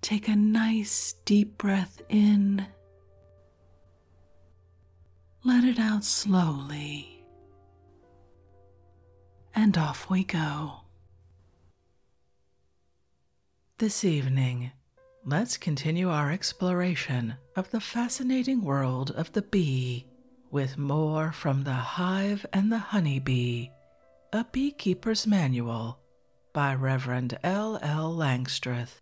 Take a nice deep breath in. Let it out slowly. And off we go. This evening, let's continue our exploration of the fascinating world of the bee with more from The Hive and the Honey Bee*, a beekeeper's manual by Reverend L. L. Langstreth,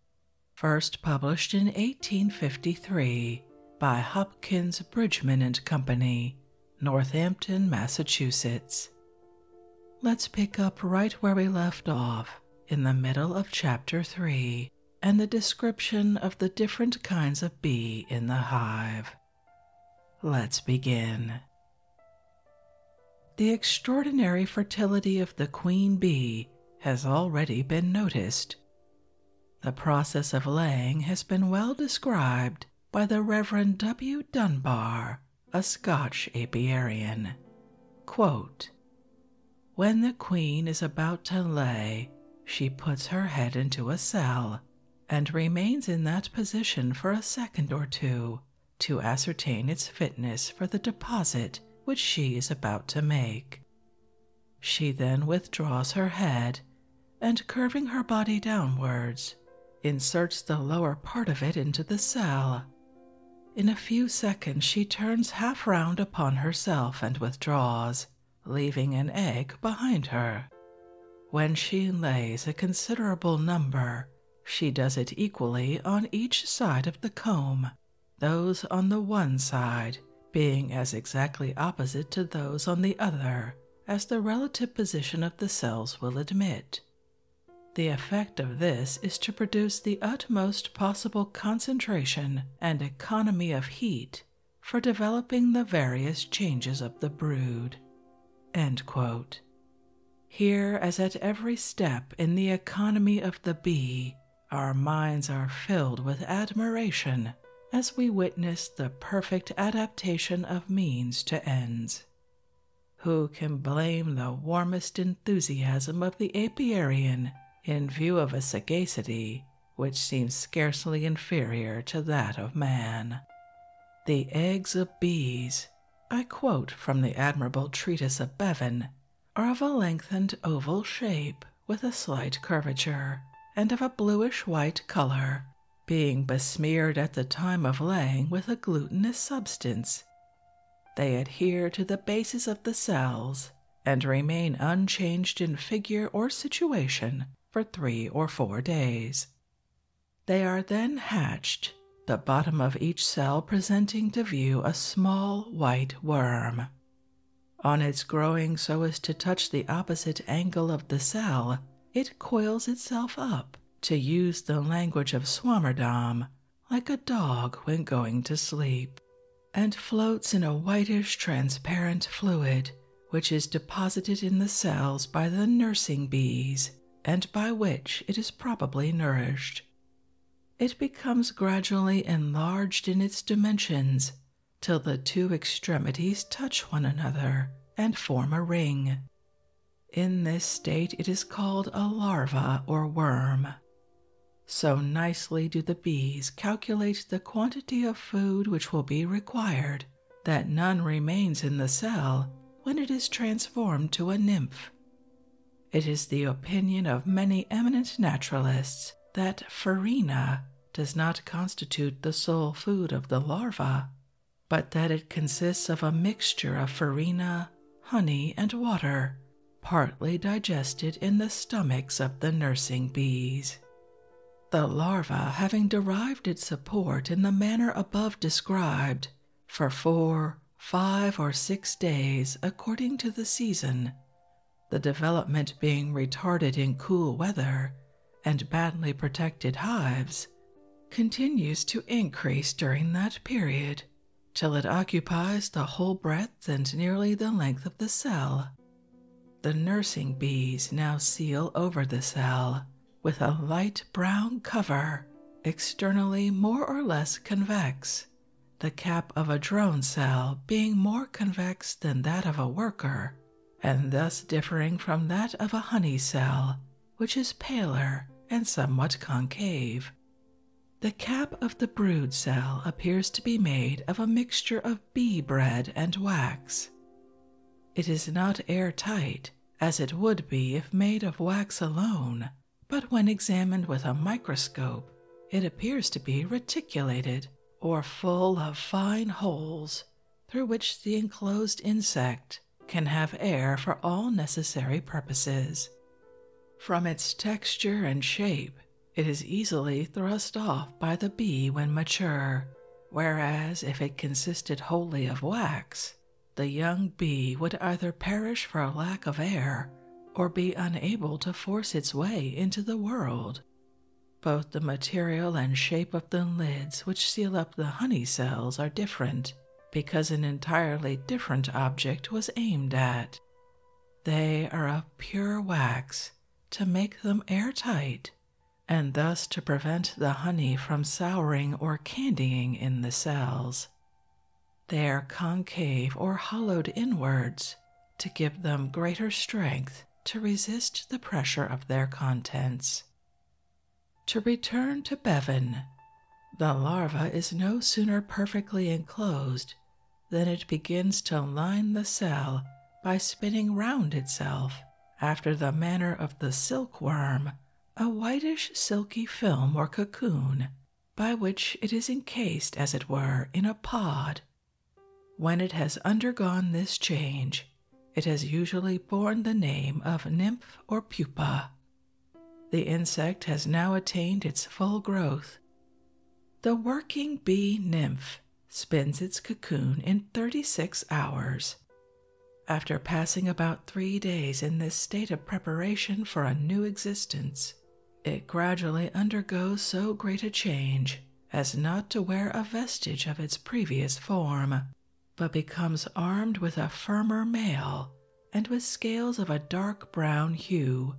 first published in 1853 by Hopkins Bridgman and Company, Northampton, Massachusetts. Let's pick up right where we left off in the middle of chapter 3 and the description of the different kinds of bee in the hive. Let's begin. The extraordinary fertility of the queen bee has already been noticed. The process of laying has been well described by the Reverend W. Dunbar, a Scotch apiarian. when the queen is about to lay, she puts her head into a cell and remains in that position for a second or two to ascertain its fitness for the deposit which she is about to make. She then withdraws her head and, curving her body downwards, inserts the lower part of it into the cell. In a few seconds, she turns half round upon herself and withdraws, leaving an egg behind her. When she lays a considerable number she does it equally on each side of the comb, those on the one side being as exactly opposite to those on the other as the relative position of the cells will admit. The effect of this is to produce the utmost possible concentration and economy of heat for developing the various changes of the brood. Here, as at every step in the economy of the bee, our minds are filled with admiration as we witness the perfect adaptation of means to ends. Who can blame the warmest enthusiasm of the apiarian in view of a sagacity which seems scarcely inferior to that of man? The eggs of bees I quote from the admirable treatise of Bevan, are of a lengthened oval shape, with a slight curvature, and of a bluish white color, being besmeared at the time of laying with a glutinous substance. They adhere to the bases of the cells and remain unchanged in figure or situation for three or four days. They are then hatched the bottom of each cell presenting to view a small white worm. On its growing so as to touch the opposite angle of the cell, it coils itself up, to use the language of Swammerdam, like a dog when going to sleep, and floats in a whitish transparent fluid which is deposited in the cells by the nursing bees and by which it is probably nourished. It becomes gradually enlarged in its dimensions till the two extremities touch one another and form a ring. In this state it is called a larva or worm. So nicely do the bees calculate the quantity of food which will be required that none remains in the cell when it is transformed to a nymph. It is the opinion of many eminent naturalists that farina does not constitute the sole food of the larva, but that it consists of a mixture of farina, honey, and water, partly digested in the stomachs of the nursing bees. The larva, having derived its support in the manner above described, for four, five, or six days according to the season, the development being retarded in cool weather and badly protected hives, continues to increase during that period till it occupies the whole breadth and nearly the length of the cell. The nursing bees now seal over the cell with a light brown cover externally more or less convex, the cap of a drone cell being more convex than that of a worker, and thus differing from that of a honey cell, which is paler and somewhat concave. The cap of the brood cell appears to be made of a mixture of bee bread and wax. It is not air-tight, as it would be if made of wax alone, but when examined with a microscope, it appears to be reticulated or full of fine holes through which the enclosed insect can have air for all necessary purposes. From its texture and shape, it is easily thrust off by the bee when mature, whereas if it consisted wholly of wax, the young bee would either perish for lack of air or be unable to force its way into the world. Both the material and shape of the lids which seal up the honey cells are different because an entirely different object was aimed at. They are of pure wax to make them airtight and thus to prevent the honey from souring or candying in the cells. They are concave or hollowed inwards to give them greater strength to resist the pressure of their contents. To return to Bevan, the larva is no sooner perfectly enclosed than it begins to line the cell by spinning round itself after the manner of the silkworm, a whitish silky film or cocoon by which it is encased, as it were, in a pod. When it has undergone this change, it has usually borne the name of nymph or pupa. The insect has now attained its full growth. The working bee nymph spins its cocoon in 36 hours. After passing about three days in this state of preparation for a new existence, it gradually undergoes so great a change as not to wear a vestige of its previous form, but becomes armed with a firmer mail and with scales of a dark brown hue.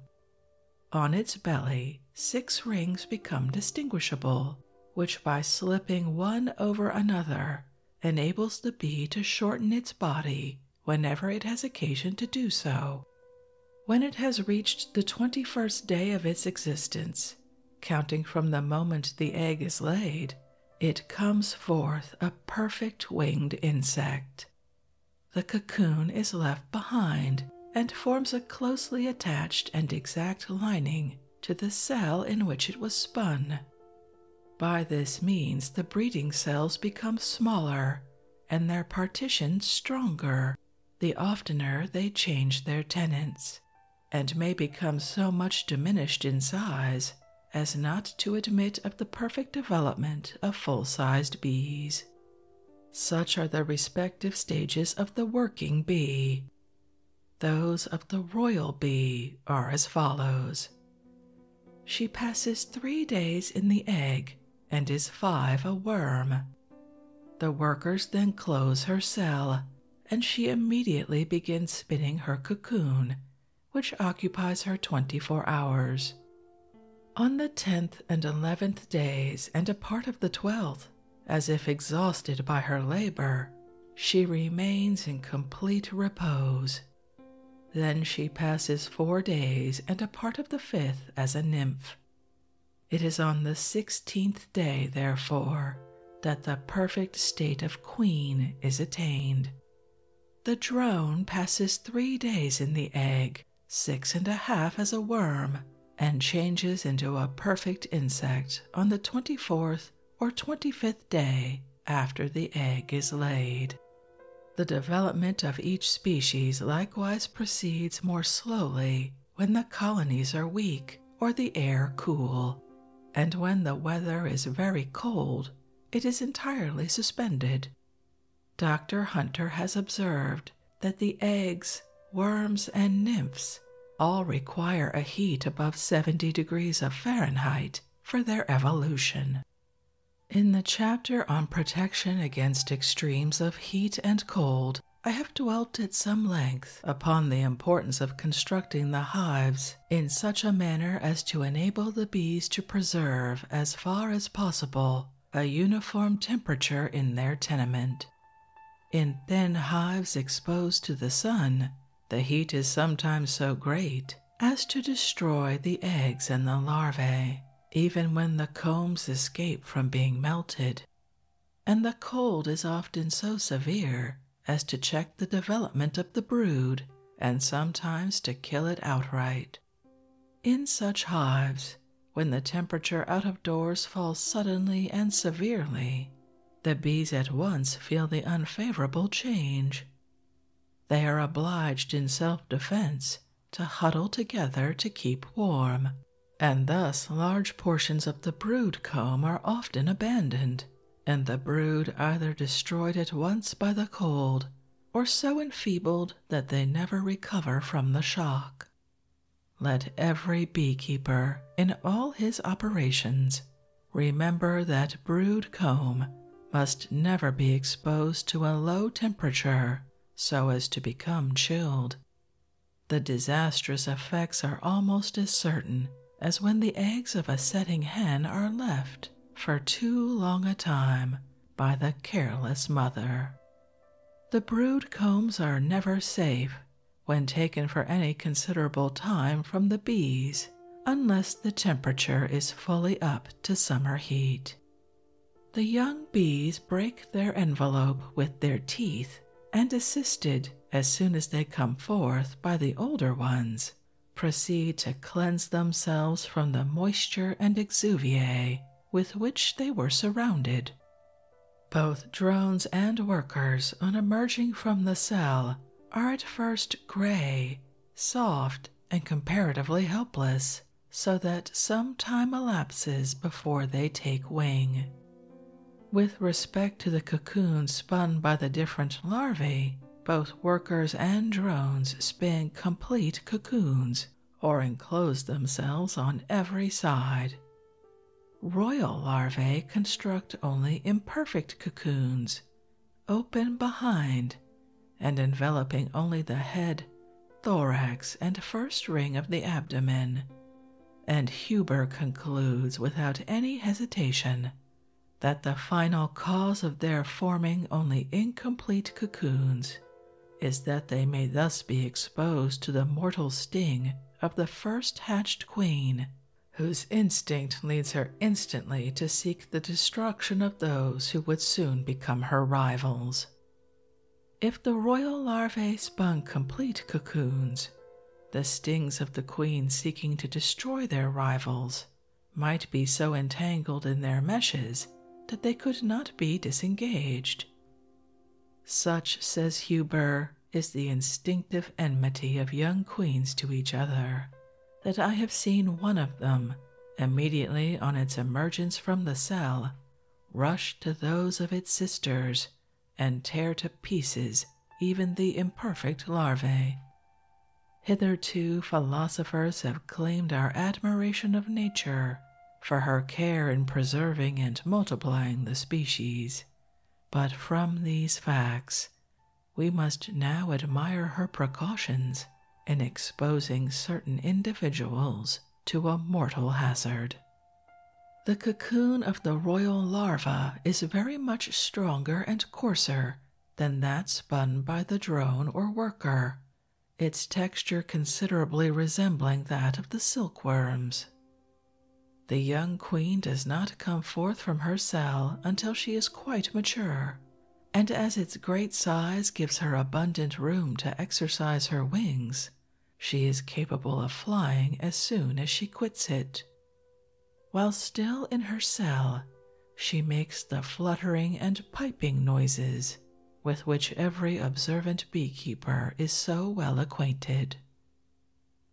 On its belly, six rings become distinguishable, which by slipping one over another enables the bee to shorten its body whenever it has occasion to do so. When it has reached the 21st day of its existence, counting from the moment the egg is laid, it comes forth a perfect winged insect. The cocoon is left behind and forms a closely attached and exact lining to the cell in which it was spun. By this means, the breeding cells become smaller and their partitions stronger the oftener they change their tenants, and may become so much diminished in size as not to admit of the perfect development of full sized bees. Such are the respective stages of the working bee. Those of the royal bee are as follows. She passes three days in the egg and is five a worm. The workers then close her cell, and she immediately begins spinning her cocoon, which occupies her twenty four hours. On the tenth and eleventh days, and a part of the twelfth, as if exhausted by her labor, she remains in complete repose then she passes four days and a part of the fifth as a nymph. It is on the sixteenth day, therefore, that the perfect state of queen is attained. The drone passes three days in the egg, six and a half as a worm, and changes into a perfect insect on the twenty fourth or twenty fifth day after the egg is laid. The development of each species likewise proceeds more slowly when the colonies are weak or the air cool, and when the weather is very cold, it is entirely suspended. Dr. Hunter has observed that the eggs, worms, and nymphs all require a heat above 70 degrees of Fahrenheit for their evolution. In the chapter on protection against extremes of heat and cold, I have dwelt at some length upon the importance of constructing the hives in such a manner as to enable the bees to preserve, as far as possible, a uniform temperature in their tenement. In thin hives exposed to the sun, the heat is sometimes so great as to destroy the eggs and the larvae even when the combs escape from being melted, and the cold is often so severe as to check the development of the brood and sometimes to kill it outright. In such hives, when the temperature out of doors falls suddenly and severely, the bees at once feel the unfavorable change. They are obliged in self defense to huddle together to keep warm, and thus large portions of the brood comb are often abandoned, and the brood either destroyed at once by the cold or so enfeebled that they never recover from the shock. Let every beekeeper, in all his operations, remember that brood comb must never be exposed to a low temperature so as to become chilled. The disastrous effects are almost as certain as when the eggs of a setting hen are left for too long a time by the careless mother. The brood combs are never safe when taken for any considerable time from the bees unless the temperature is fully up to summer heat. The young bees break their envelope with their teeth and, assisted as soon as they come forth by the older ones, proceed to cleanse themselves from the moisture and exuviae with which they were surrounded. Both drones and workers, on emerging from the cell, are at first gray, soft, and comparatively helpless so that some time elapses before they take wing. With respect to the cocoons spun by the different larvae, both workers and drones spin complete cocoons or enclose themselves on every side. Royal larvae construct only imperfect cocoons, open behind, and enveloping only the head, thorax, and first ring of the abdomen. And Huber concludes without any hesitation that the final cause of their forming only incomplete cocoons is that they may thus be exposed to the mortal sting of the first hatched queen, whose instinct leads her instantly to seek the destruction of those who would soon become her rivals. If the royal larvae spun complete cocoons, the stings of the queen seeking to destroy their rivals might be so entangled in their meshes that they could not be disengaged. Such, says Huber, is the instinctive enmity of young queens to each other, that I have seen one of them, immediately on its emergence from the cell, rush to those of its sisters and tear to pieces even the imperfect larvae. Hitherto, philosophers have claimed our admiration of nature for her care in preserving and multiplying the species, but from these facts, we must now admire her precautions in exposing certain individuals to a mortal hazard. The cocoon of the royal larva is very much stronger and coarser than that spun by the drone or worker, its texture considerably resembling that of the silkworms. The young queen does not come forth from her cell until she is quite mature, and as its great size gives her abundant room to exercise her wings. She is capable of flying as soon as she quits it. While still in her cell, she makes the fluttering and piping noises with which every observant beekeeper is so well acquainted.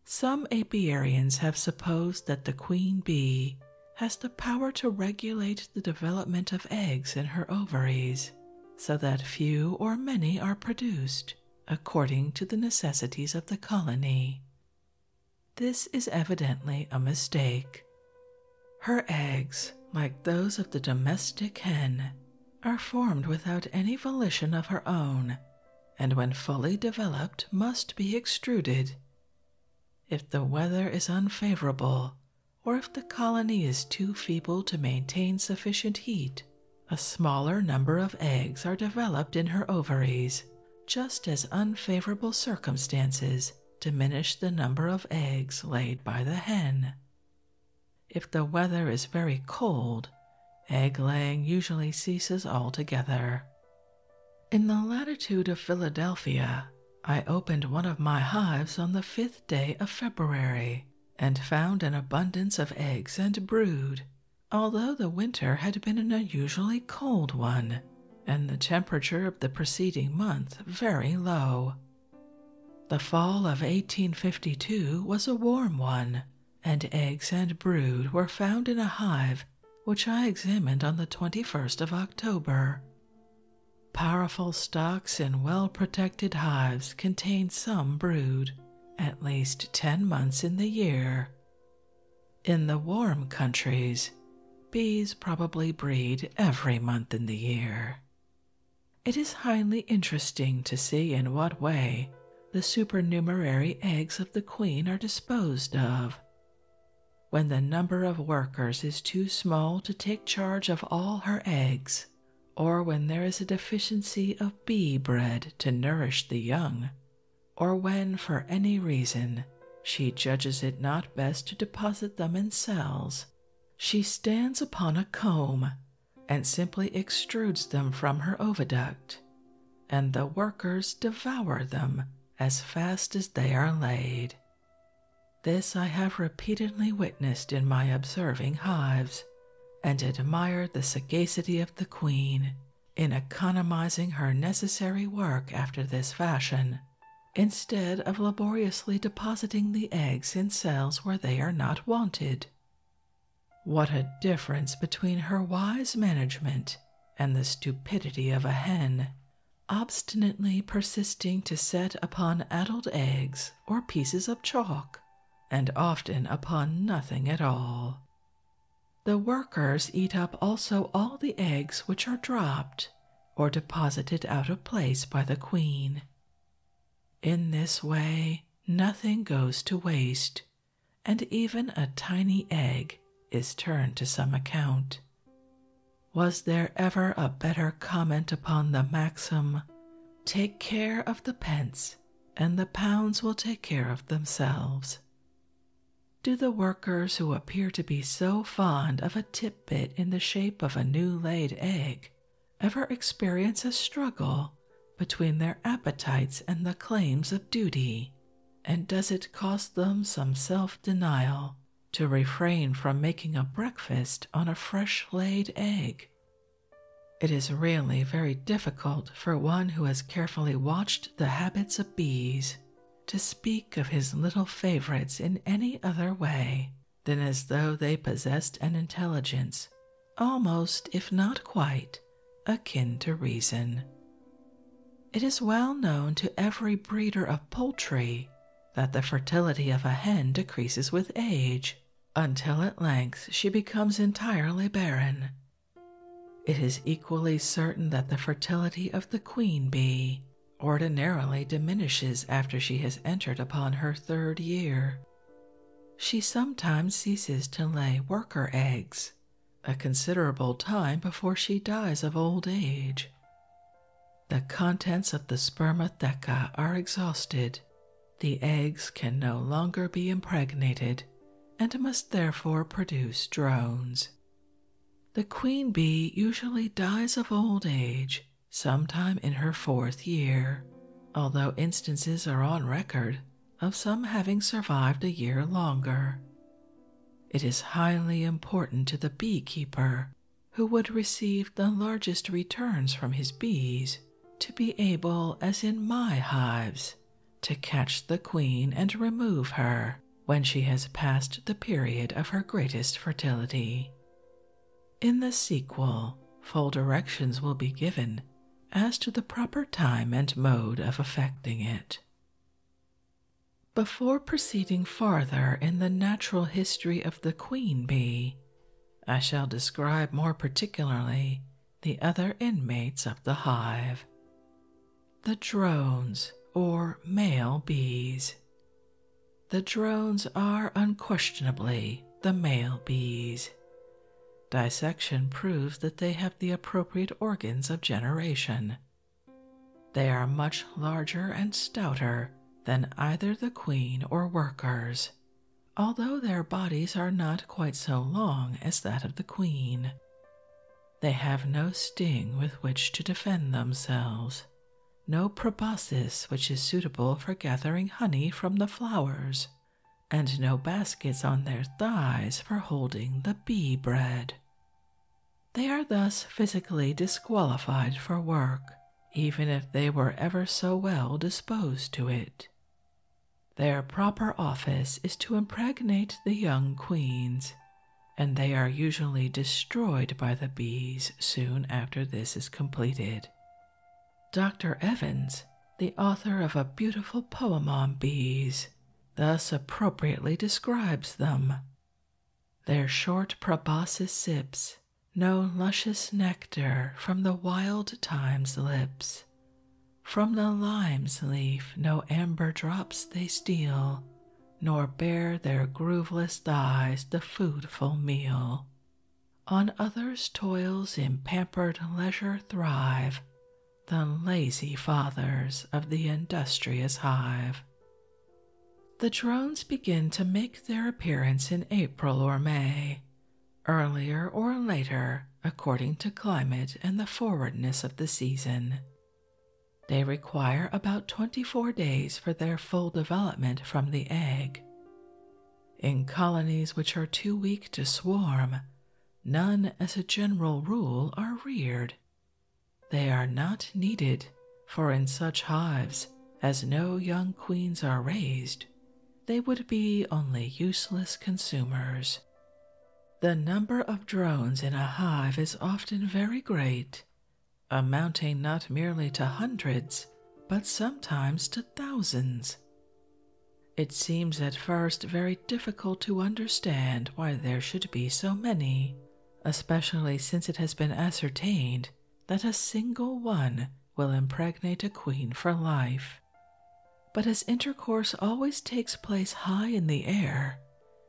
Some apiarians have supposed that the queen bee has the power to regulate the development of eggs in her ovaries so that few or many are produced according to the necessities of the colony. This is evidently a mistake. Her eggs, like those of the domestic hen, are formed without any volition of her own, and when fully developed must be extruded. If the weather is unfavorable, or if the colony is too feeble to maintain sufficient heat, a smaller number of eggs are developed in her ovaries, just as unfavorable circumstances diminish the number of eggs laid by the hen. If the weather is very cold, egg laying usually ceases altogether. In the latitude of Philadelphia, I opened one of my hives on the fifth day of February and found an abundance of eggs and brood, although the winter had been an unusually cold one and the temperature of the preceding month very low. The fall of 1852 was a warm one, and eggs and brood were found in a hive which I examined on the 21st of October. Powerful stocks in well protected hives contain some brood at least 10 months in the year. In the warm countries, bees probably breed every month in the year. It is highly interesting to see in what way the supernumerary eggs of the queen are disposed of. When the number of workers is too small to take charge of all her eggs, or when there is a deficiency of bee bread to nourish the young, or when for any reason she judges it not best to deposit them in cells, she stands upon a comb and simply extrudes them from her oviduct, and the workers devour them as fast as they are laid. This I have repeatedly witnessed in my observing hives, and admired the sagacity of the queen in economizing her necessary work after this fashion, instead of laboriously depositing the eggs in cells where they are not wanted. What a difference between her wise management and the stupidity of a hen, obstinately persisting to set upon adult eggs or pieces of chalk, and often upon nothing at all. The workers eat up also all the eggs which are dropped or deposited out of place by the queen. In this way, nothing goes to waste, and even a tiny egg is turned to some account. Was there ever a better comment upon the maxim, Take care of the pence, and the pounds will take care of themselves. Do the workers who appear to be so fond of a tidbit in the shape of a new laid egg ever experience a struggle between their appetites and the claims of duty? And does it cost them some self denial to refrain from making a breakfast on a fresh laid egg it is really very difficult for one who has carefully watched the habits of bees to speak of his little favorites in any other way than as though they possessed an intelligence almost, if not quite, akin to reason. It is well known to every breeder of poultry that the fertility of a hen decreases with age, until at length she becomes entirely barren. It is equally certain that the fertility of the queen bee ordinarily diminishes after she has entered upon her third year. She sometimes ceases to lay worker eggs a considerable time before she dies of old age. The contents of the spermatheca are exhausted the eggs can no longer be impregnated and must therefore produce drones. The queen bee usually dies of old age sometime in her fourth year, although instances are on record of some having survived a year longer. It is highly important to the beekeeper who would receive the largest returns from his bees to be able, as in my hives, to catch the queen and remove her when she has passed the period of her greatest fertility. In the sequel, full directions will be given as to the proper time and mode of effecting it. Before proceeding farther in the natural history of the queen bee, I shall describe more particularly the other inmates of the hive. The drones, or male bees. The drones are unquestionably the male bees. Dissection proves that they have the appropriate organs of generation. They are much larger and stouter than either the queen or workers, although their bodies are not quite so long as that of the queen. They have no sting with which to defend themselves, no proboscis which is suitable for gathering honey from the flowers, and no baskets on their thighs for holding the bee bread. They are thus physically disqualified for work, even if they were ever so well disposed to it. Their proper office is to impregnate the young queens, and they are usually destroyed by the bees soon after this is completed. Dr. Evans, the author of a beautiful poem on bees, thus appropriately describes them. Their short proboscis sips no luscious nectar from the wild time's lips, from the lime's leaf no amber drops they steal, nor bear their grooveless thighs the foodful meal. On others' toils in pampered leisure thrive the lazy fathers of the industrious hive. The drones begin to make their appearance in April or May, earlier or later according to climate and the forwardness of the season. They require about 24 days for their full development from the egg. In colonies which are too weak to swarm, none as a general rule are reared. They are not needed, for in such hives, as no young queens are raised, they would be only useless consumers. The number of drones in a hive is often very great, amounting not merely to hundreds, but sometimes to thousands. It seems at first very difficult to understand why there should be so many, especially since it has been ascertained that a single one will impregnate a queen for life. But as intercourse always takes place high in the air,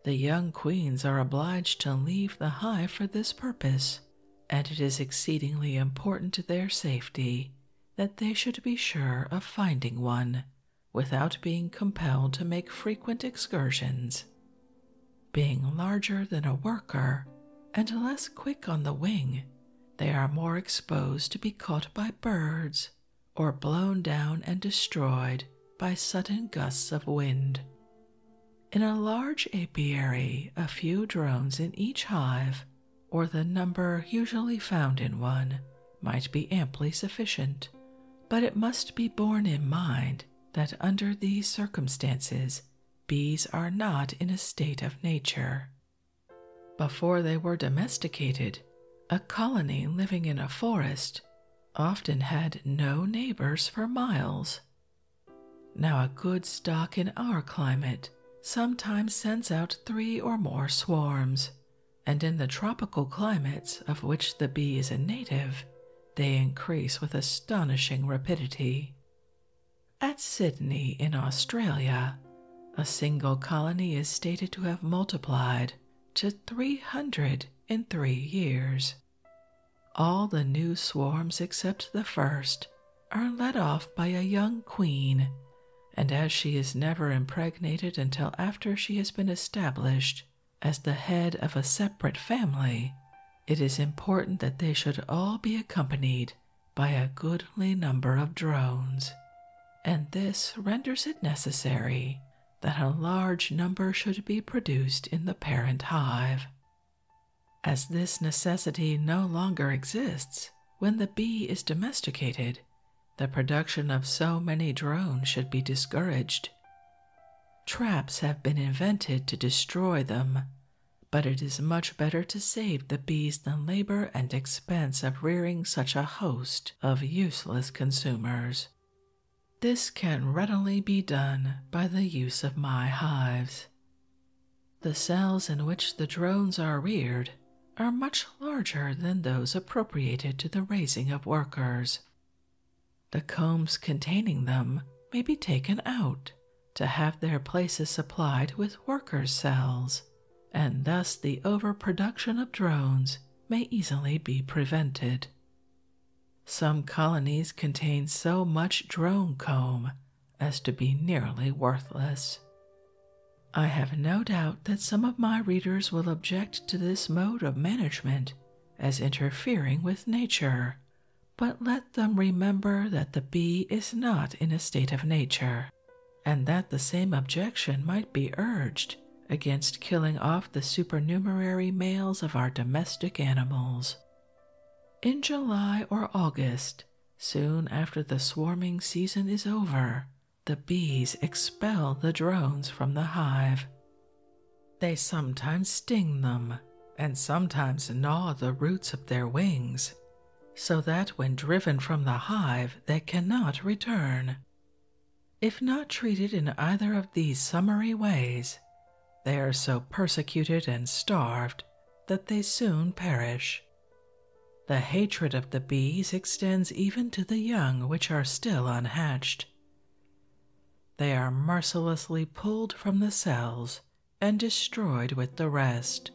the young queens are obliged to leave the hive for this purpose, and it is exceedingly important to their safety that they should be sure of finding one without being compelled to make frequent excursions. Being larger than a worker and less quick on the wing, they are more exposed to be caught by birds or blown down and destroyed by sudden gusts of wind. In a large apiary, a few drones in each hive, or the number usually found in one, might be amply sufficient, but it must be borne in mind that under these circumstances bees are not in a state of nature before they were domesticated, a colony living in a forest often had no neighbors for miles. Now, a good stock in our climate sometimes sends out three or more swarms, and in the tropical climates of which the bee is a native, they increase with astonishing rapidity. At Sydney, in Australia, a single colony is stated to have multiplied to 300 in three years. All the new swarms except the first are led off by a young queen, and as she is never impregnated until after she has been established as the head of a separate family, it is important that they should all be accompanied by a goodly number of drones, and this renders it necessary that a large number should be produced in the parent hive. As this necessity no longer exists when the bee is domesticated, the production of so many drones should be discouraged. Traps have been invented to destroy them, but it is much better to save the bees than labor and expense of rearing such a host of useless consumers. This can readily be done by the use of my hives. The cells in which the drones are reared are much larger than those appropriated to the raising of workers. The combs containing them may be taken out to have their places supplied with workers' cells and thus the overproduction of drones may easily be prevented. Some colonies contain so much drone comb as to be nearly worthless. I have no doubt that some of my readers will object to this mode of management as interfering with nature, but let them remember that the bee is not in a state of nature, and that the same objection might be urged against killing off the supernumerary males of our domestic animals. In July or August, soon after the swarming season is over, the bees expel the drones from the hive. They sometimes sting them and sometimes gnaw the roots of their wings so that when driven from the hive they cannot return. If not treated in either of these summary ways, they are so persecuted and starved that they soon perish. The hatred of the bees extends even to the young which are still unhatched. They are mercilessly pulled from the cells and destroyed with the rest.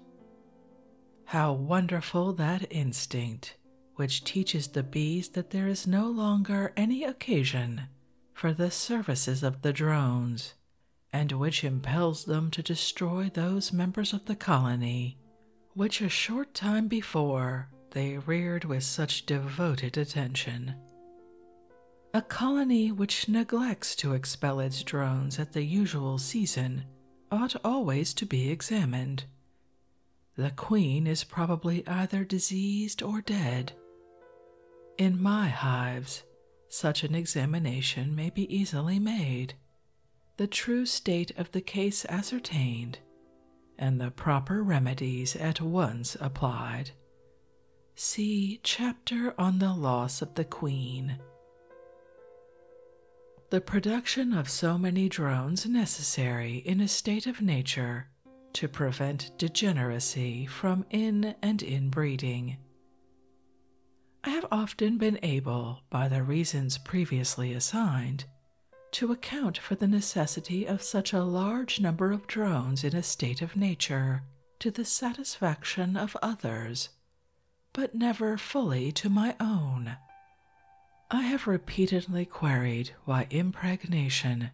How wonderful that instinct, which teaches the bees that there is no longer any occasion for the services of the drones, and which impels them to destroy those members of the colony which a short time before they reared with such devoted attention. A colony which neglects to expel its drones at the usual season ought always to be examined. The queen is probably either diseased or dead. In my hives, such an examination may be easily made, the true state of the case ascertained, and the proper remedies at once applied. See Chapter on the Loss of the Queen. The production of so many drones necessary in a state of nature to prevent degeneracy from in and inbreeding. I have often been able, by the reasons previously assigned, to account for the necessity of such a large number of drones in a state of nature to the satisfaction of others but never fully to my own. I have repeatedly queried why impregnation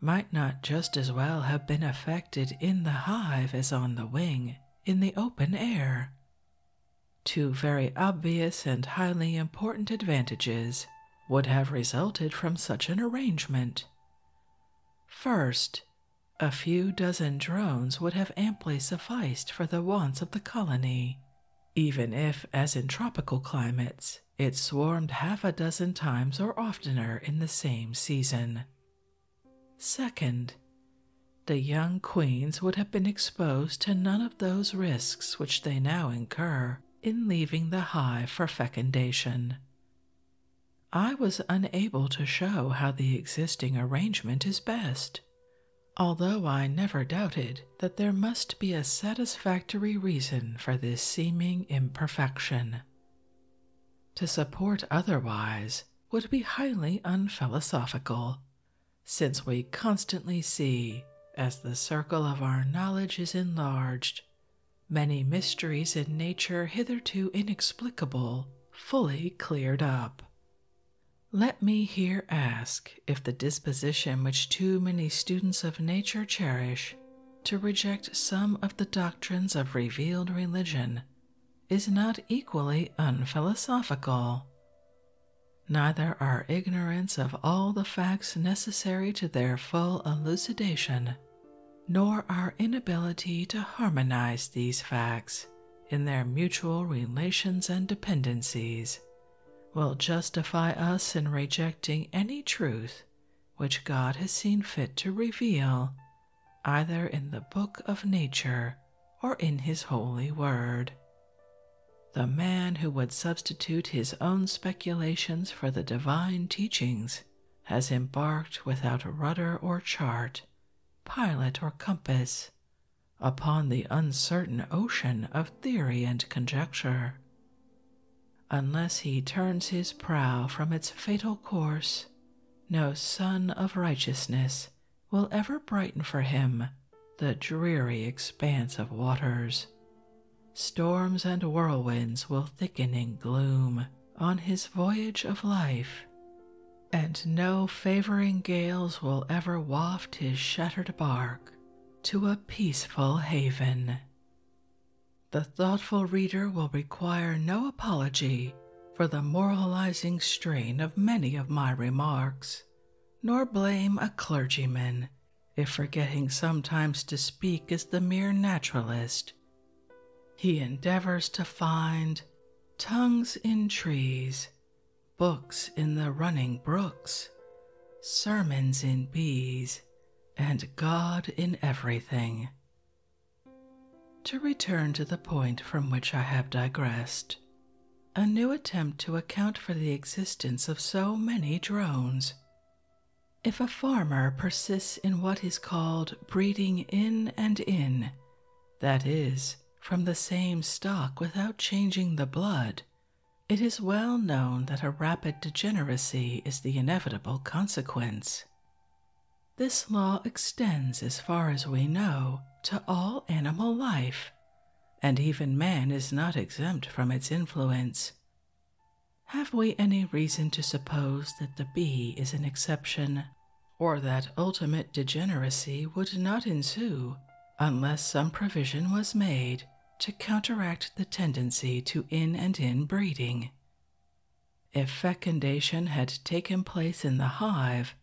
might not just as well have been effected in the hive as on the wing in the open air. Two very obvious and highly important advantages would have resulted from such an arrangement. First, a few dozen drones would have amply sufficed for the wants of the colony, even if, as in tropical climates, it swarmed half a dozen times or oftener in the same season. Second, the young queens would have been exposed to none of those risks which they now incur in leaving the hive for fecundation. I was unable to show how the existing arrangement is best, although I never doubted that there must be a satisfactory reason for this seeming imperfection. To support otherwise would be highly unphilosophical, since we constantly see, as the circle of our knowledge is enlarged, many mysteries in nature hitherto inexplicable fully cleared up, let me here ask if the disposition which too many students of nature cherish to reject some of the doctrines of revealed religion is not equally unphilosophical. Neither our ignorance of all the facts necessary to their full elucidation, nor our inability to harmonize these facts in their mutual relations and dependencies will justify us in rejecting any truth which God has seen fit to reveal, either in the book of nature or in his holy word. The man who would substitute his own speculations for the divine teachings has embarked without rudder or chart, pilot or compass, upon the uncertain ocean of theory and conjecture. Unless he turns his prow from its fatal course, no sun of righteousness will ever brighten for him the dreary expanse of waters. Storms and whirlwinds will thicken in gloom on his voyage of life, and no favoring gales will ever waft his shattered bark to a peaceful haven. The thoughtful reader will require no apology for the moralizing strain of many of my remarks, nor blame a clergyman if forgetting sometimes to speak is the mere naturalist. He endeavors to find tongues in trees books in the running brooks, sermons in bees, and God in everything. To return to the point from which I have digressed, a new attempt to account for the existence of so many drones. If a farmer persists in what is called breeding in and in, that is, from the same stock without changing the blood, it is well known that a rapid degeneracy is the inevitable consequence. This law extends, as far as we know, to all animal life, and even man is not exempt from its influence. Have we any reason to suppose that the bee is an exception, or that ultimate degeneracy would not ensue unless some provision was made to counteract the tendency to in and in breeding. If fecundation had taken place in the hive,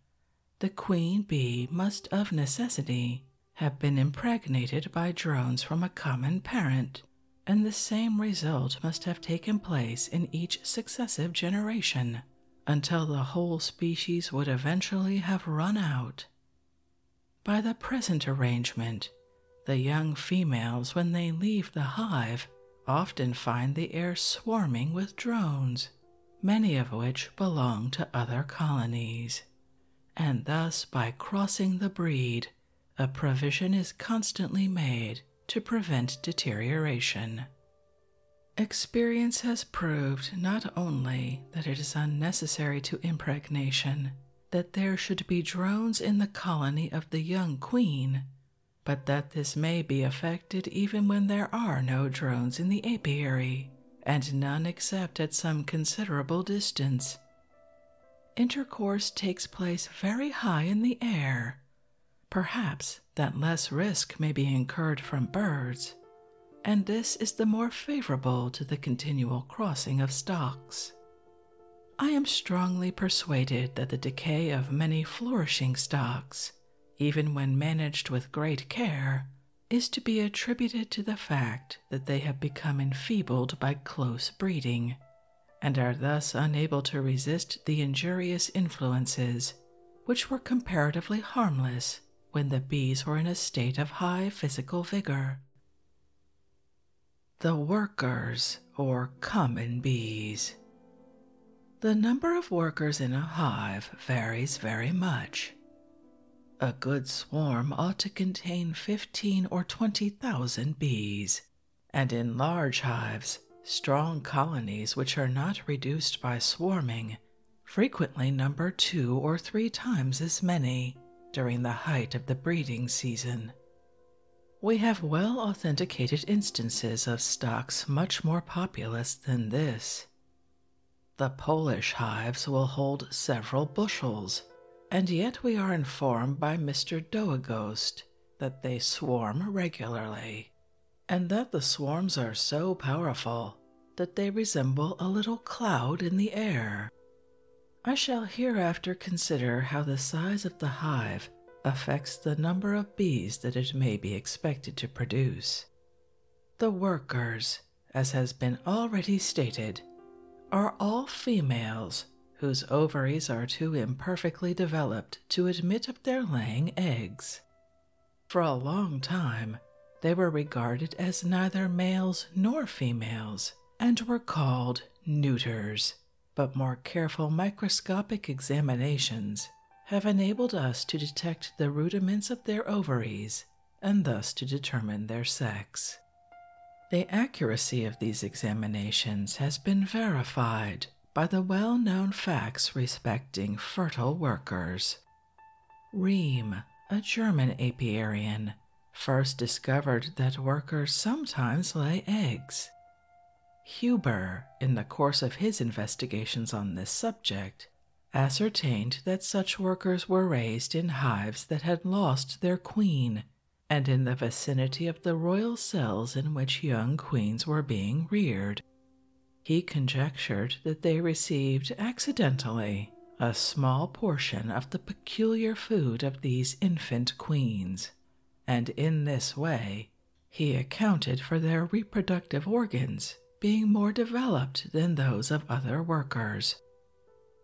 the queen bee must of necessity have been impregnated by drones from a common parent, and the same result must have taken place in each successive generation until the whole species would eventually have run out by the present arrangement, the young females, when they leave the hive, often find the air swarming with drones, many of which belong to other colonies. And thus, by crossing the breed, a provision is constantly made to prevent deterioration. Experience has proved not only that it is unnecessary to impregnation that there should be drones in the colony of the young queen, but that this may be effected even when there are no drones in the apiary, and none except at some considerable distance. Intercourse takes place very high in the air. Perhaps that less risk may be incurred from birds, and this is the more favorable to the continual crossing of stocks. I am strongly persuaded that the decay of many flourishing stocks, even when managed with great care, is to be attributed to the fact that they have become enfeebled by close breeding, and are thus unable to resist the injurious influences which were comparatively harmless when the bees were in a state of high physical vigor. The workers, or common bees. The number of workers in a hive varies very much. A good swarm ought to contain 15 or 20,000 bees, and in large hives, strong colonies which are not reduced by swarming frequently number two or three times as many during the height of the breeding season. We have well authenticated instances of stocks much more populous than this. The Polish hives will hold several bushels, and yet we are informed by Mr. Doagost that they swarm regularly, and that the swarms are so powerful that they resemble a little cloud in the air. I shall hereafter consider how the size of the hive affects the number of bees that it may be expected to produce. The workers, as has been already stated, are all females whose ovaries are too imperfectly developed to admit of their laying eggs. For a long time, they were regarded as neither males nor females and were called neuters. But more careful microscopic examinations have enabled us to detect the rudiments of their ovaries and thus to determine their sex. The accuracy of these examinations has been verified by the well known facts respecting fertile workers, Rehm, a German apiarian, first discovered that workers sometimes lay eggs. Huber, in the course of his investigations on this subject, ascertained that such workers were raised in hives that had lost their queen and in the vicinity of the royal cells in which young queens were being reared. He conjectured that they received accidentally a small portion of the peculiar food of these infant queens, and in this way he accounted for their reproductive organs being more developed than those of other workers.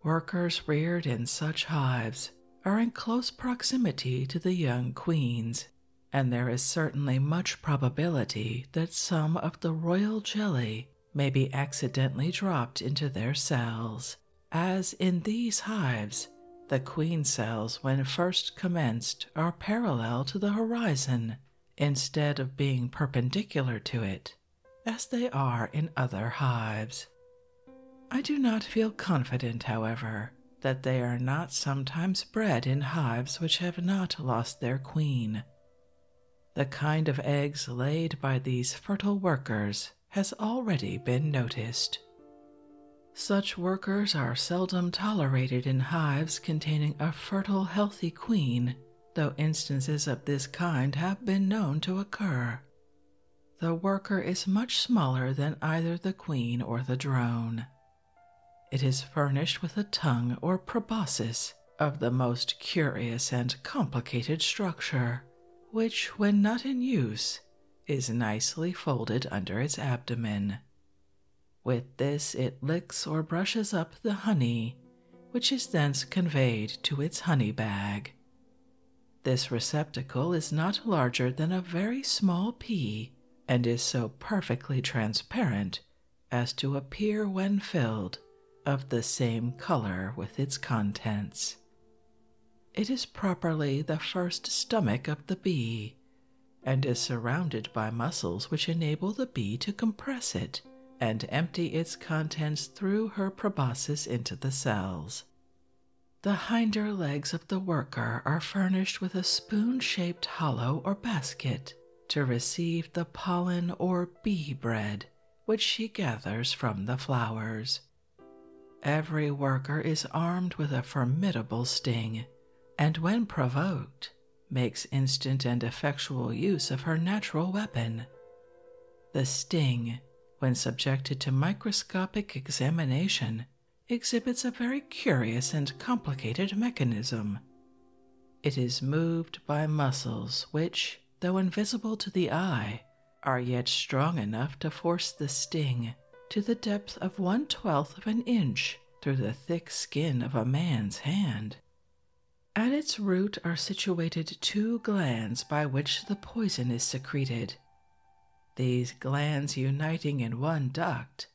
Workers reared in such hives are in close proximity to the young queens, and there is certainly much probability that some of the royal jelly may be accidentally dropped into their cells, as in these hives, the queen cells when first commenced are parallel to the horizon instead of being perpendicular to it, as they are in other hives. I do not feel confident, however, that they are not sometimes bred in hives which have not lost their queen, the kind of eggs laid by these fertile workers has already been noticed. Such workers are seldom tolerated in hives containing a fertile, healthy queen, though instances of this kind have been known to occur. The worker is much smaller than either the queen or the drone. It is furnished with a tongue or proboscis of the most curious and complicated structure, which, when not in use, is nicely folded under its abdomen. With this, it licks or brushes up the honey, which is thence conveyed to its honey bag. This receptacle is not larger than a very small pea and is so perfectly transparent as to appear when filled of the same color with its contents. It is properly the first stomach of the bee and is surrounded by muscles which enable the bee to compress it and empty its contents through her proboscis into the cells. The hinder legs of the worker are furnished with a spoon shaped hollow or basket to receive the pollen or bee bread which she gathers from the flowers. Every worker is armed with a formidable sting, and when provoked, makes instant and effectual use of her natural weapon. The sting, when subjected to microscopic examination, exhibits a very curious and complicated mechanism. It is moved by muscles which, though invisible to the eye, are yet strong enough to force the sting to the depth of one twelfth of an inch through the thick skin of a man's hand. At its root are situated two glands by which the poison is secreted. These glands, uniting in one duct,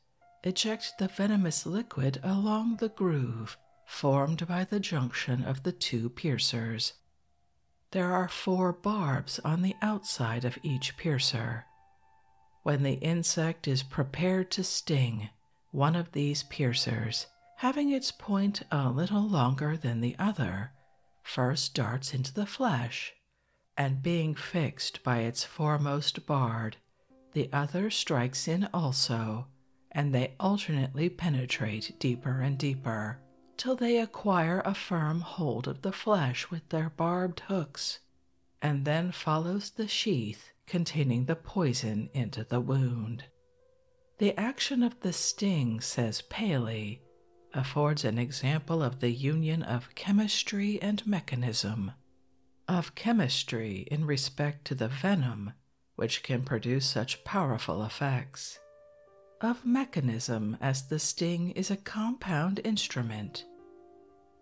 eject the venomous liquid along the groove formed by the junction of the two piercers. There are four barbs on the outside of each piercer. When the insect is prepared to sting, one of these piercers, having its point a little longer than the other, first darts into the flesh, and being fixed by its foremost bard, the other strikes in also and they alternately penetrate deeper and deeper till they acquire a firm hold of the flesh with their barbed hooks, and then follows the sheath containing the poison into the wound. The action of the sting, says Paley, affords an example of the union of chemistry and mechanism, of chemistry in respect to the venom which can produce such powerful effects. Of mechanism, as the sting is a compound instrument,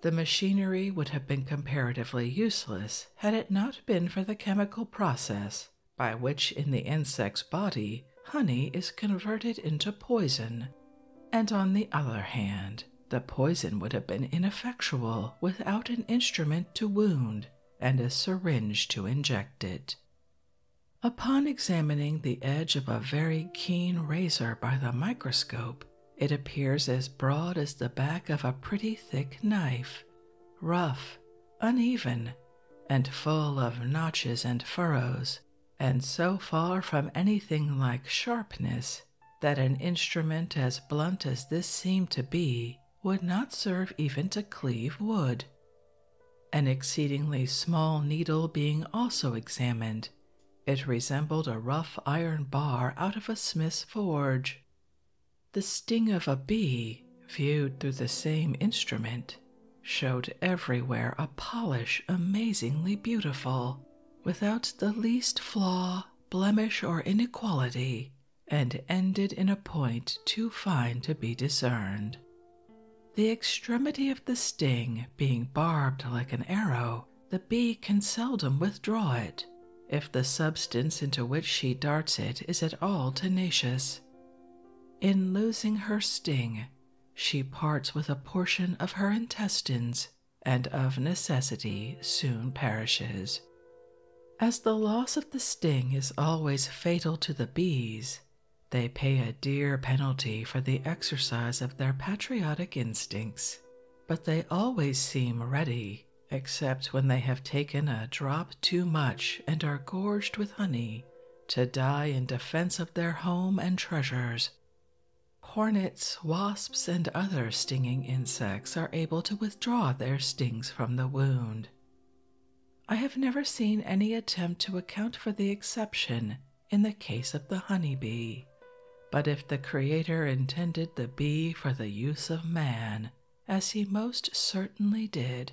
the machinery would have been comparatively useless had it not been for the chemical process by which, in the insect's body, honey is converted into poison, and on the other hand, the poison would have been ineffectual without an instrument to wound and a syringe to inject it. Upon examining the edge of a very keen razor by the microscope, it appears as broad as the back of a pretty thick knife, rough, uneven, and full of notches and furrows, and so far from anything like sharpness that an instrument as blunt as this seemed to be would not serve even to cleave wood. An exceedingly small needle being also examined, it resembled a rough iron bar out of a smith's forge. The sting of a bee, viewed through the same instrument, showed everywhere a polish amazingly beautiful, without the least flaw, blemish, or inequality, and ended in a point too fine to be discerned. The extremity of the sting being barbed like an arrow, the bee can seldom withdraw it if the substance into which she darts it is at all tenacious. In losing her sting, she parts with a portion of her intestines and of necessity soon perishes. As the loss of the sting is always fatal to the bees, they pay a dear penalty for the exercise of their patriotic instincts, but they always seem ready, except when they have taken a drop too much and are gorged with honey, to die in defense of their home and treasures. Hornets, wasps, and other stinging insects are able to withdraw their stings from the wound. I have never seen any attempt to account for the exception in the case of the honey bee, But if the Creator intended the bee for the use of man, as he most certainly did,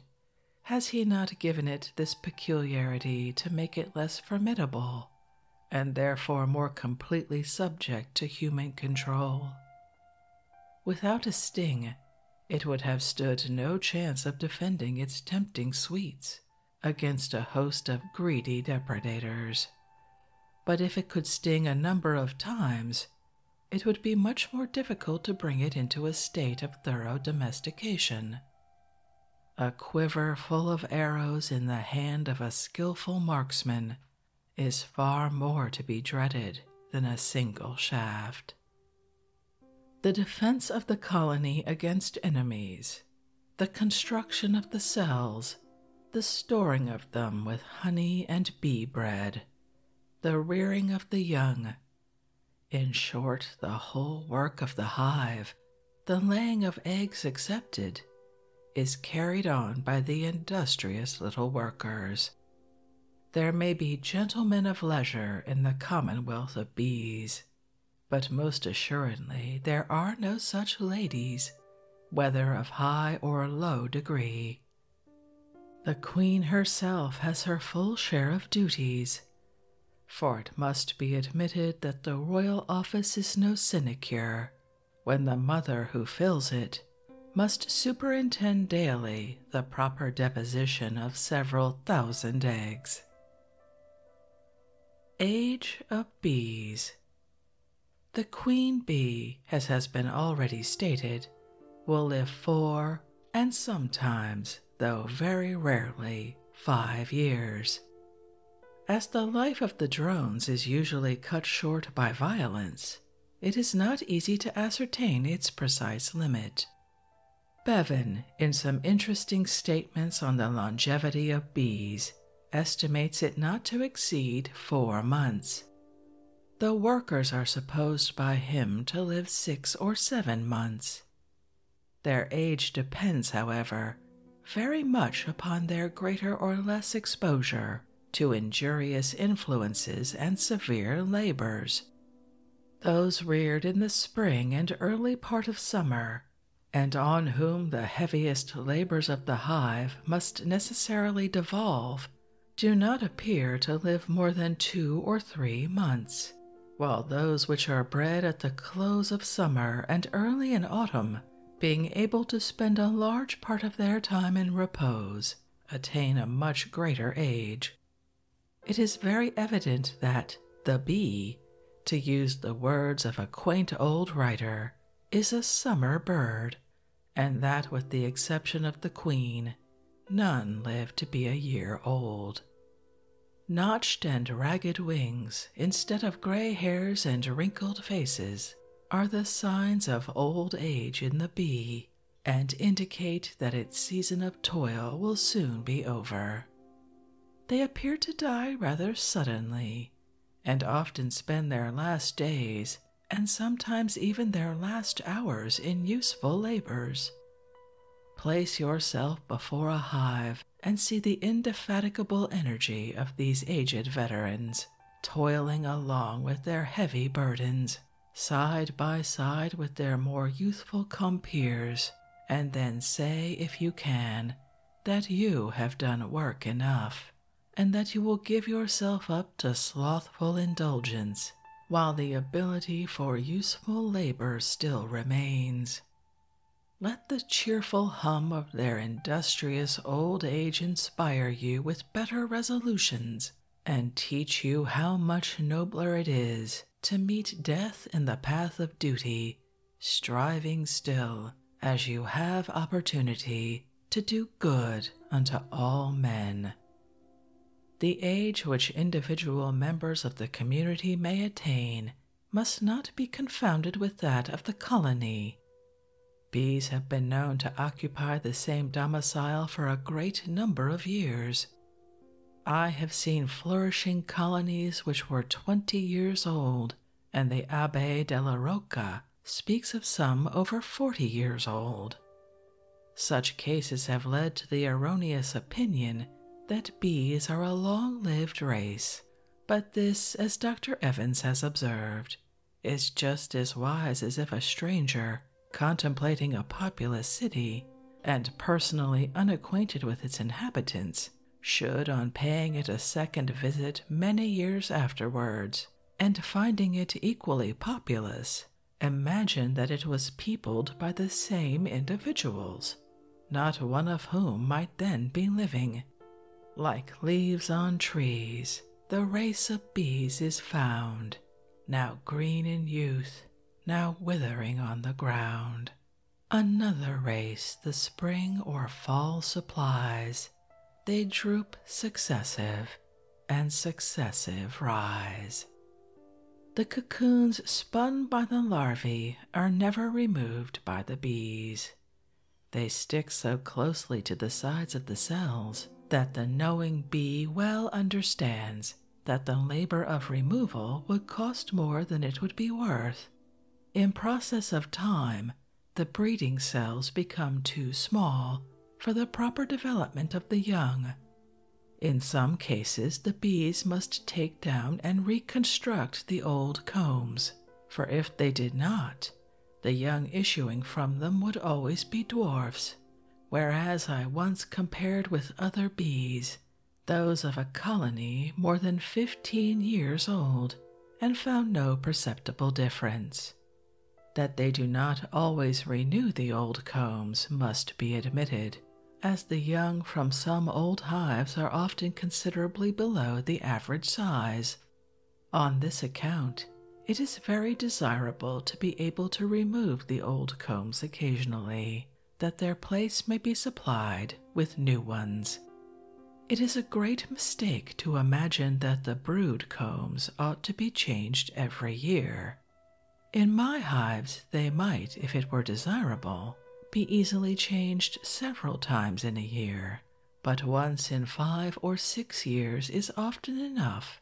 has he not given it this peculiarity to make it less formidable, and therefore more completely subject to human control? Without a sting, it would have stood no chance of defending its tempting sweets against a host of greedy depredators. But if it could sting a number of times, it would be much more difficult to bring it into a state of thorough domestication. A quiver full of arrows in the hand of a skilful marksman is far more to be dreaded than a single shaft. The defense of the colony against enemies, the construction of the cells, the storing of them with honey and bee bread, the rearing of the young, in short, the whole work of the hive, the laying of eggs excepted, is carried on by the industrious little workers. There may be gentlemen of leisure in the commonwealth of bees, but most assuredly there are no such ladies, whether of high or low degree. The queen herself has her full share of duties, for it must be admitted that the royal office is no sinecure when the mother who fills it must superintend daily the proper deposition of several thousand eggs. Age of Bees The queen bee, as has been already stated, will live four and sometimes, though very rarely, five years. As the life of the drones is usually cut short by violence, it is not easy to ascertain its precise limit. Bevan, in some interesting statements on the longevity of bees, estimates it not to exceed four months. The workers are supposed by him to live six or seven months. Their age depends, however, very much upon their greater or less exposure to injurious influences and severe labors. Those reared in the spring and early part of summer, and on whom the heaviest labors of the hive must necessarily devolve, do not appear to live more than two or three months, while those which are bred at the close of summer and early in autumn, being able to spend a large part of their time in repose, attain a much greater age. It is very evident that the bee, to use the words of a quaint old writer, is a summer bird, and that with the exception of the queen, none live to be a year old. Notched and ragged wings, instead of gray hairs and wrinkled faces, are the signs of old age in the bee and indicate that its season of toil will soon be over. They appear to die rather suddenly, and often spend their last days and sometimes even their last hours in useful labors. Place yourself before a hive and see the indefatigable energy of these aged veterans, toiling along with their heavy burdens, side by side with their more youthful compeers, and then say, if you can, that you have done work enough, and that you will give yourself up to slothful indulgence while the ability for useful labor still remains. Let the cheerful hum of their industrious old age inspire you with better resolutions and teach you how much nobler it is to meet death in the path of duty, striving still, as you have opportunity, to do good unto all men. The age which individual members of the community may attain must not be confounded with that of the colony. Bees have been known to occupy the same domicile for a great number of years, I have seen flourishing colonies which were twenty years old, and the Abbe de la Rocca speaks of some over forty years old. Such cases have led to the erroneous opinion that bees are a long lived race, but this, as Dr. Evans has observed, is just as wise as if a stranger, contemplating a populous city, and personally unacquainted with its inhabitants, should, on paying it a second visit many years afterwards, and finding it equally populous, imagine that it was peopled by the same individuals, not one of whom might then be living. Like leaves on trees, the race of bees is found, now green in youth, now withering on the ground. Another race the spring or fall supplies, they droop successive and successive rise. The cocoons spun by the larvae are never removed by the bees. They stick so closely to the sides of the cells that the knowing bee well understands that the labor of removal would cost more than it would be worth. In process of time, the breeding cells become too small for the proper development of the young. In some cases, the bees must take down and reconstruct the old combs, for if they did not, the young issuing from them would always be dwarfs. Whereas I once compared with other bees those of a colony more than 15 years old, and found no perceptible difference. That they do not always renew the old combs must be admitted, as the young from some old hives are often considerably below the average size. On this account, it is very desirable to be able to remove the old combs occasionally that their place may be supplied with new ones. It is a great mistake to imagine that the brood combs ought to be changed every year. In my hives, they might, if it were desirable, be easily changed several times in a year, but once in five or six years is often enough.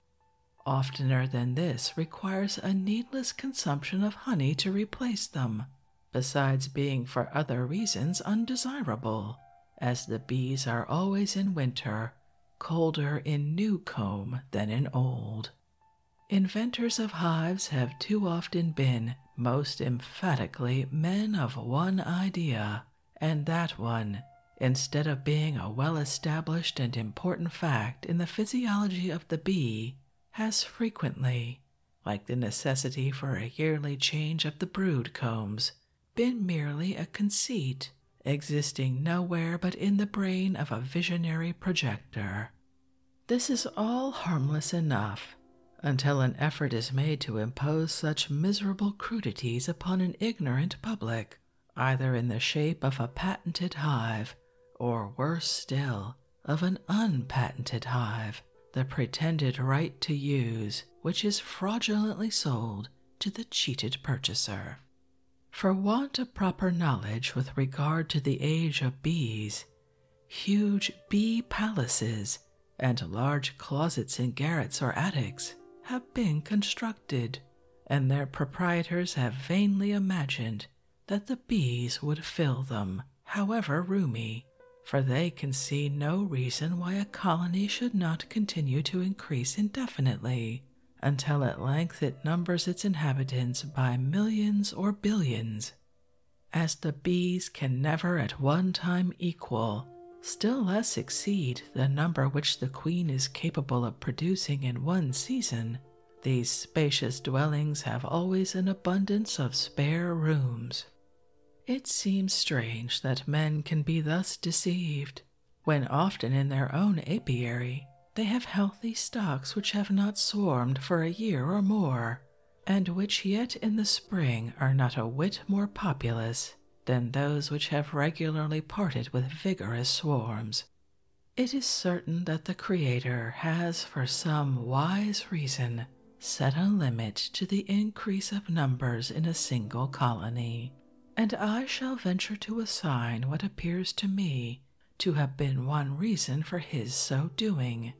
Oftener than this requires a needless consumption of honey to replace them, besides being for other reasons undesirable, as the bees are always in winter colder in new comb than in old. Inventors of hives have too often been most emphatically men of one idea, and that one, instead of being a well established and important fact in the physiology of the bee, has frequently, like the necessity for a yearly change of the brood combs, been merely a conceit existing nowhere but in the brain of a visionary projector. This is all harmless enough until an effort is made to impose such miserable crudities upon an ignorant public, either in the shape of a patented hive or worse still, of an unpatented hive, the pretended right to use which is fraudulently sold to the cheated purchaser. For want of proper knowledge with regard to the age of bees, huge bee palaces and large closets in garrets or attics have been constructed, and their proprietors have vainly imagined that the bees would fill them, however roomy, for they can see no reason why a colony should not continue to increase indefinitely until at length it numbers its inhabitants by millions or billions. As the bees can never at one time equal, still less exceed the number which the queen is capable of producing in one season, these spacious dwellings have always an abundance of spare rooms. It seems strange that men can be thus deceived, when often in their own apiary they have healthy stocks which have not swarmed for a year or more, and which yet in the spring are not a whit more populous than those which have regularly parted with vigorous swarms. It is certain that the Creator has, for some wise reason, set a limit to the increase of numbers in a single colony, and I shall venture to assign what appears to me to have been one reason for his so doing.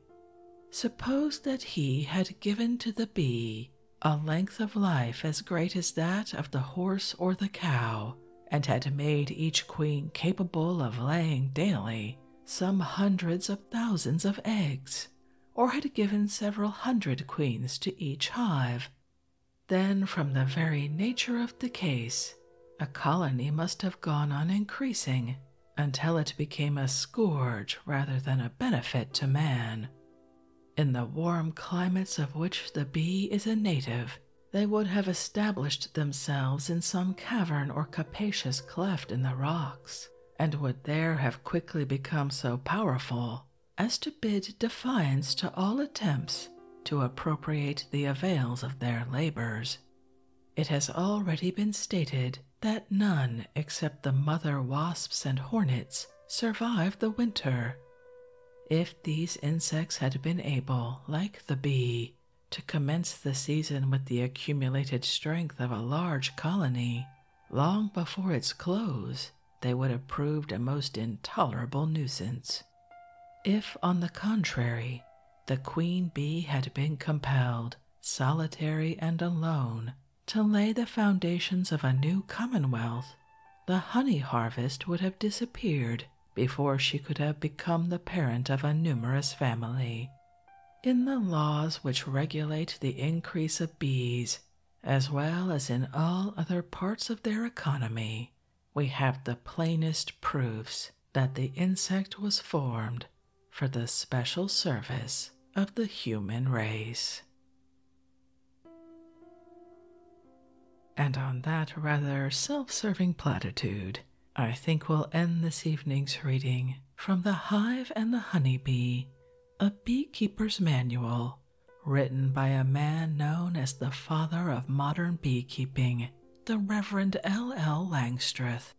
Suppose that he had given to the bee a length of life as great as that of the horse or the cow, and had made each queen capable of laying daily some hundreds of thousands of eggs, or had given several hundred queens to each hive. Then, from the very nature of the case, a colony must have gone on increasing until it became a scourge rather than a benefit to man. In the warm climates of which the bee is a native, they would have established themselves in some cavern or capacious cleft in the rocks, and would there have quickly become so powerful as to bid defiance to all attempts to appropriate the avails of their labors. It has already been stated that none except the mother wasps and hornets survive the winter. If these insects had been able, like the bee, to commence the season with the accumulated strength of a large colony, long before its close, they would have proved a most intolerable nuisance. If, on the contrary, the queen bee had been compelled, solitary and alone, to lay the foundations of a new commonwealth, the honey harvest would have disappeared before she could have become the parent of a numerous family, in the laws which regulate the increase of bees, as well as in all other parts of their economy, we have the plainest proofs that the insect was formed for the special service of the human race. And on that rather self serving platitude, I think we'll end this evening's reading from The Hive and the Honey Bee*, a beekeeper's manual written by a man known as the father of modern beekeeping, the Reverend L. L. Langstreth.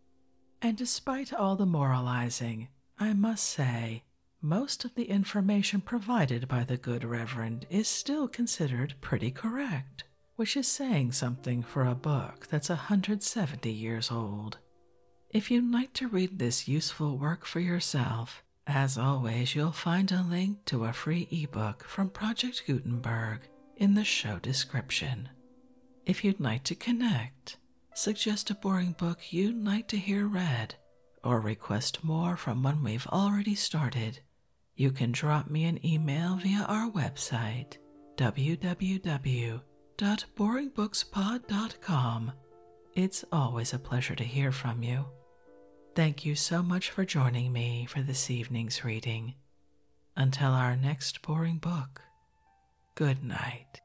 And despite all the moralizing, I must say, most of the information provided by the good Reverend is still considered pretty correct, which is saying something for a book book that's 170 years old. If you'd like to read this useful work for yourself, as always, you'll find a link to a free ebook from Project Gutenberg in the show description. If you'd like to connect, suggest a boring book you'd like to hear read, or request more from one we've already started, you can drop me an email via our website www www.boringbookspod.com. It's always a pleasure to hear from you. Thank you so much for joining me for this evening's reading. Until our next boring book, good night.